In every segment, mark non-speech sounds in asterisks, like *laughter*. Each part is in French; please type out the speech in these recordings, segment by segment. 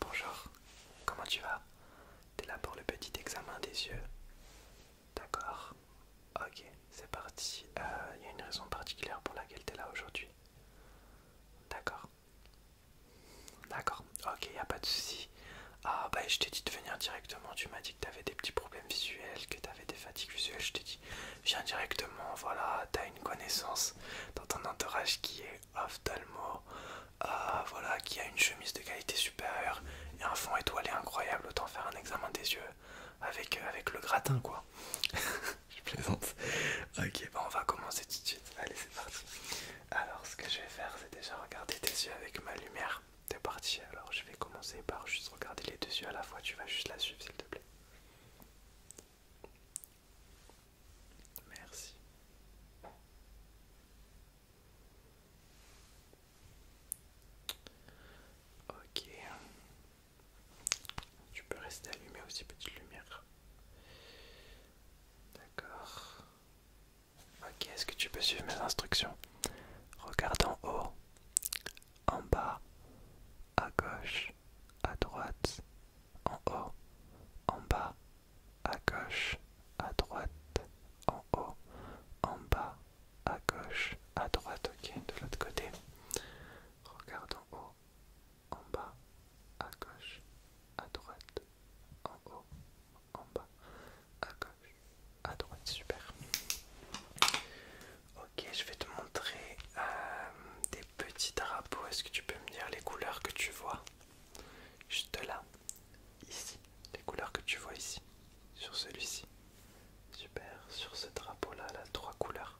Bonjour, comment tu vas T'es là pour le petit examen des yeux D'accord Ok, c'est parti. Il euh, y a une raison particulière pour laquelle t'es là aujourd'hui D'accord D'accord, ok, y a pas de souci. Ah bah je t'ai dit de venir directement, tu m'as dit que t'avais des petits problèmes visuels, que t'avais des fatigues visuelles, je t'ai dit viens directement, voilà, t'as une connaissance dans ton entourage qui est ophtalmo, euh, voilà, qui a une chemise de qualité supérieure et un fond étoilé incroyable, autant faire un examen des yeux avec, euh, avec le gratin quoi. *laughs* Je plaisante. Ok, bon on va commencer tout de suite. Allez, c'est parti. Alors, ce que je vais faire, c'est déjà regarder tes yeux avec ma lumière. T'es parti. Alors, je vais commencer par juste regarder les deux yeux à la fois. Tu vas juste la suivre, s'il te plaît. Merci. Ok. Tu peux rester allumé aussi, petite lumière. D'accord. Ok, est-ce que tu peux suivre mes instructions Regarde en haut, en bas, à gauche, à droite, en haut, en bas, à gauche, à droite, en haut, en bas, à gauche, à droite, ok, de l'autre côté. Regarde en haut, en bas, à gauche, à droite, en haut, en bas, à gauche, à droite, super. Ok, je vais te montrer euh, des petits drapeaux. Est-ce que tu peux me dire les couleurs que tu vois Juste là, ici, les couleurs que tu vois ici, sur celui-ci. Super, sur ce drapeau-là, là, trois couleurs.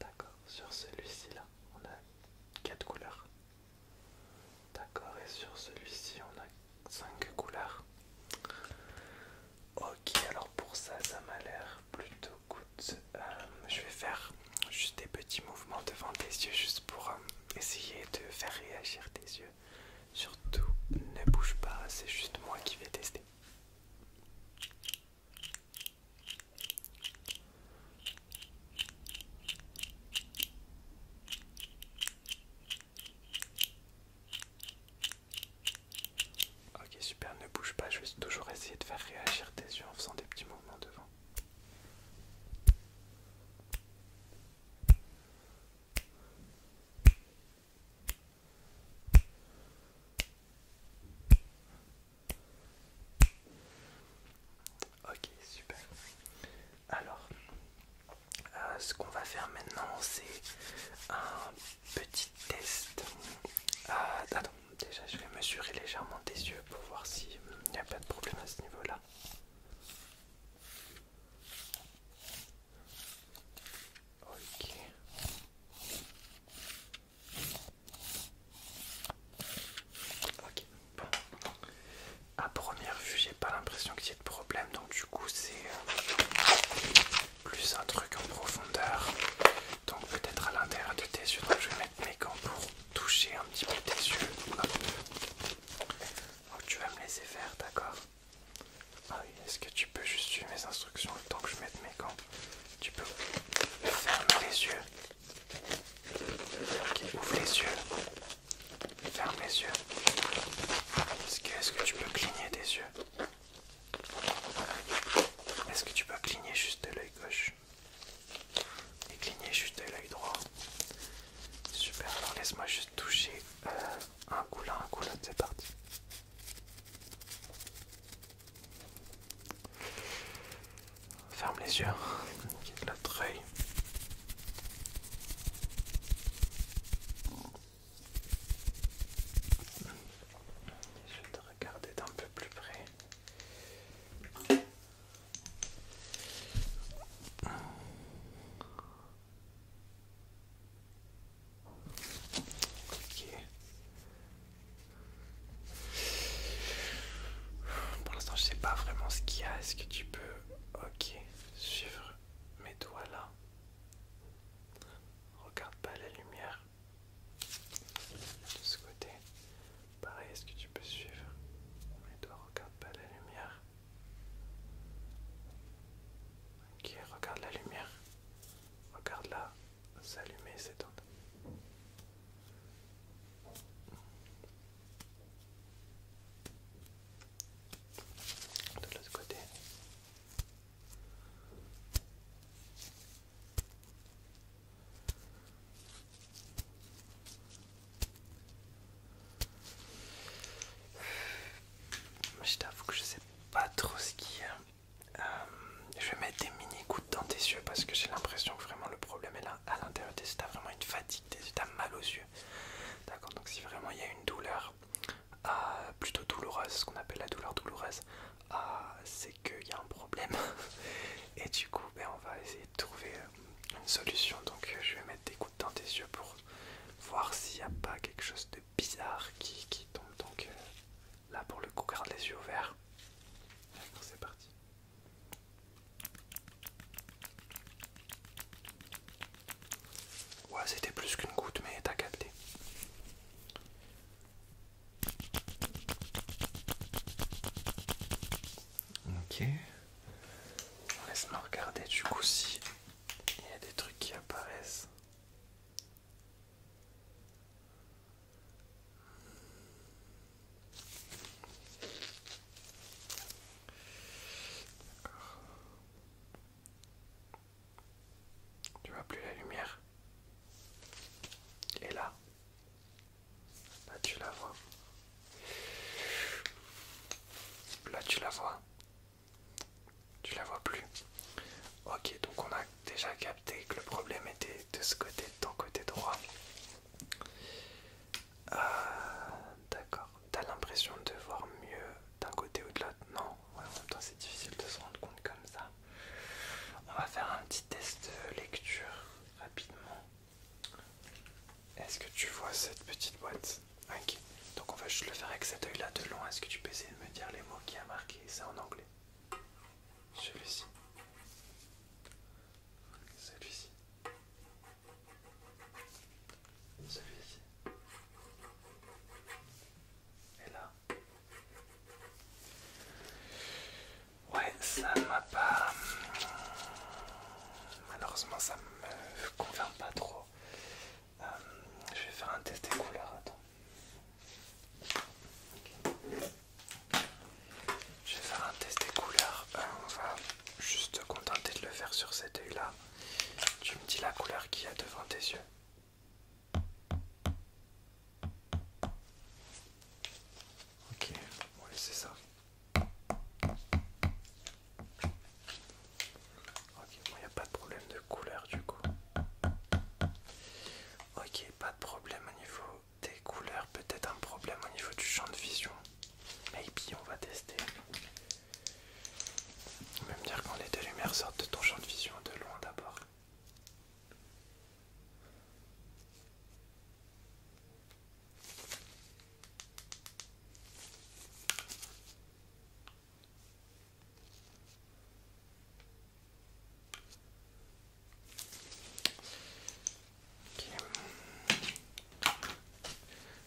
D'accord, sur celui-ci, là, on a quatre couleurs. D'accord, et sur celui-ci, on a cinq couleurs. Ok, alors pour ça, ça m'a l'air plutôt good. Euh, je vais faire juste des petits mouvements devant tes yeux, juste pour euh, essayer de faire réagir tes yeux. Surtout, ne bouge pas, c'est juste moi qui vais tester. Ok super, ne bouge pas, je vais toujours essayer de faire réagir tes yeux en faisant des petits mouvements devant. Ok, super. Alors, euh, ce qu'on va faire maintenant, c'est un petit test. Euh, déjà je vais mesurer légèrement tes yeux pour voir s'il n'y hum, a pas de problème à ce niveau-là. Ok. Ok, À première vue, j'ai pas l'impression qu'il y ait de problème, donc du coup, c'est euh, plus un truc en profondeur donc peut-être à l'intérieur de tes yeux. je vais mettre mes gants pour toucher un petit peu tes yeux. tu vas me laisser faire, d'accord Ah oui, est-ce que tu peux juste suivre mes instructions le temps que je mette mes gants Tu peux fermer les yeux. Ok, ouvre les yeux. Ferme les yeux. Est-ce que, tu peux cligner des yeux Est-ce que tu peux cligner juste de l'œil gauche cligner juste l'œil droit. Super, alors laisse-moi juste toucher euh, un coup là, un coup là, c'est parti. Ferme les yeux, l'autre œil. Je vais te regarder d'un peu plus près. Pour l'instant, je sais pas vraiment ce qu'il y a. Est-ce que tu peux, ok, suivre mes doigts là Regarde pas la lumière de ce côté. Pareil, est-ce que tu peux suivre Mais toi, regarde pas la lumière. Ok, regarde la lumière. Regarde-la s'allumer et s'étendre. De l'autre côté. Je t'avoue que je sais pas trop ce qu'il y a. Euh, je vais mettre des mini gouttes dans tes yeux parce que j'ai l'impression que vraiment le problème est là à l'intérieur tu vraiment une fatigue des mal aux yeux. D'accord, donc si vraiment il y a une douleur euh, plutôt douloureuse, ce qu'on appelle la douleur douloureuse, euh, qu'il y a un problème. *laughs* Et du coup, ben, on va essayer de trouver euh, une solution. Donc, euh, je vais mettre des gouttes dans tes yeux pour voir s'il n'y a pas quelque chose de bizarre qui, qui tombe. Donc, euh, là, pour le coup, garde les yeux ouverts. c'est parti. Ouais, c'était plus qu'une goutte, mais t'as capté. Ok. Laisse-moi regarder du coup si il y a des trucs qui apparaissent. Tu vois plus la lumière Et là Là tu la vois. Là tu la vois. Tu la vois plus. Ok, donc on a déjà capté que le problème était de ce côté, de ton côté droit. Euh, d'accord. T'as l'impression de voir mieux d'un côté ou de l'autre Non. en même temps, c'est difficile de se rendre compte comme ça. On va faire un petit test lecture rapidement. Est-ce que tu vois cette petite boîte Ok, donc on va juste le faire avec cet œil là de loin. Est-ce que tu peux essayer de me dire les mots qui a marqué ça en anglais Celui-ci. Celui-ci. Celui-ci. Et là. Ouais, ça m'a pas. Hmm, malheureusement, ça me convient pas trop. Euh, je vais faire un test des couleurs. Attends. Je vais faire un test des couleurs. Euh, on va juste te contenter de le faire sur cet œil là. Tu me dis la couleur qu'il y a devant tes yeux. Ok, on c'est ça. Ok, bon, il n'y a pas de problème de couleur du coup. Ok, pas de problème au niveau des couleurs, peut-être un problème au niveau du champ de vision. Maybe on va tester. On va dire quand les deux lumières sortent de ton champ de vision de loin d'abord.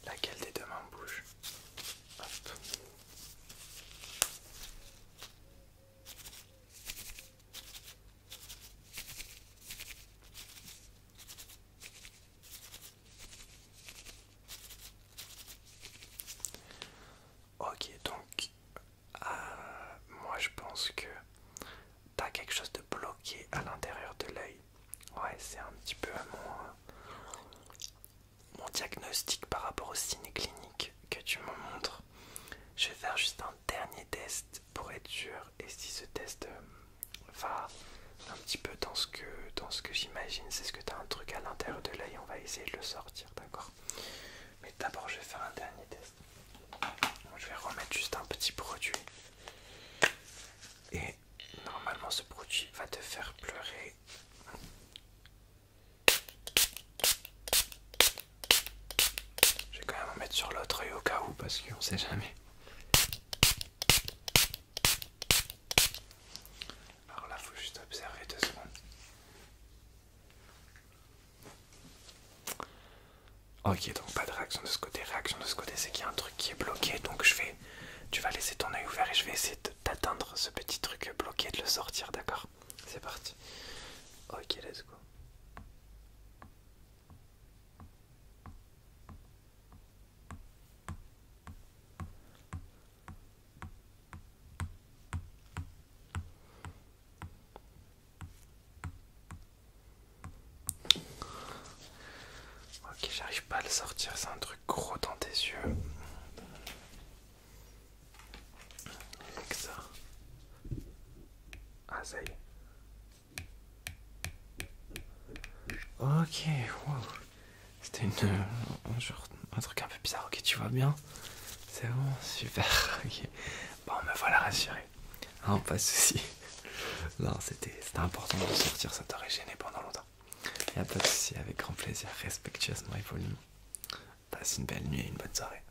Laquelle des deux mains bouge Ok, donc euh, moi je pense que t'as quelque chose de bloqué à l'intérieur de l'œil. Ouais, c'est un petit peu mon, mon diagnostic par rapport au signes clinique que tu me montres. Je vais faire juste un dernier test pour être sûr et si ce test euh, va un petit peu dans ce que dans ce que j'imagine c'est ce que tu as un truc à l'intérieur de l'œil on va essayer de le sortir d'accord mais d'abord je vais faire un dernier test je vais remettre juste un petit produit et normalement ce produit va te faire pleurer je vais quand même en mettre sur l'autre œil au cas où, parce qu'on sait jamais. Alors là, faut juste observer deux secondes. Ok, donc pas de réaction de ce côté. Réaction de ce côté, c'est qu'il y a un truc qui est bloqué, donc je vais. Tu vas laisser ton œil ouvert et je vais essayer d'atteindre ce petit truc bloqué, et de le sortir, d'accord C'est parti. Ok, let's go. Ok, j'arrive pas à le sortir, c'est un truc gros dans tes yeux. Ok, wow. C'était euh, un, truc un peu bizarre. Ok, tu vois bien C'est bon, super. *laughs* Bon, me voilà rassuré. Non hein, pas de soucis. *laughs* Non, c'était important de sortir, ça t'aurait gêné pendant longtemps. Y'a pas de soucis, avec grand plaisir, respectueusement et Passe une belle nuit et une bonne soirée.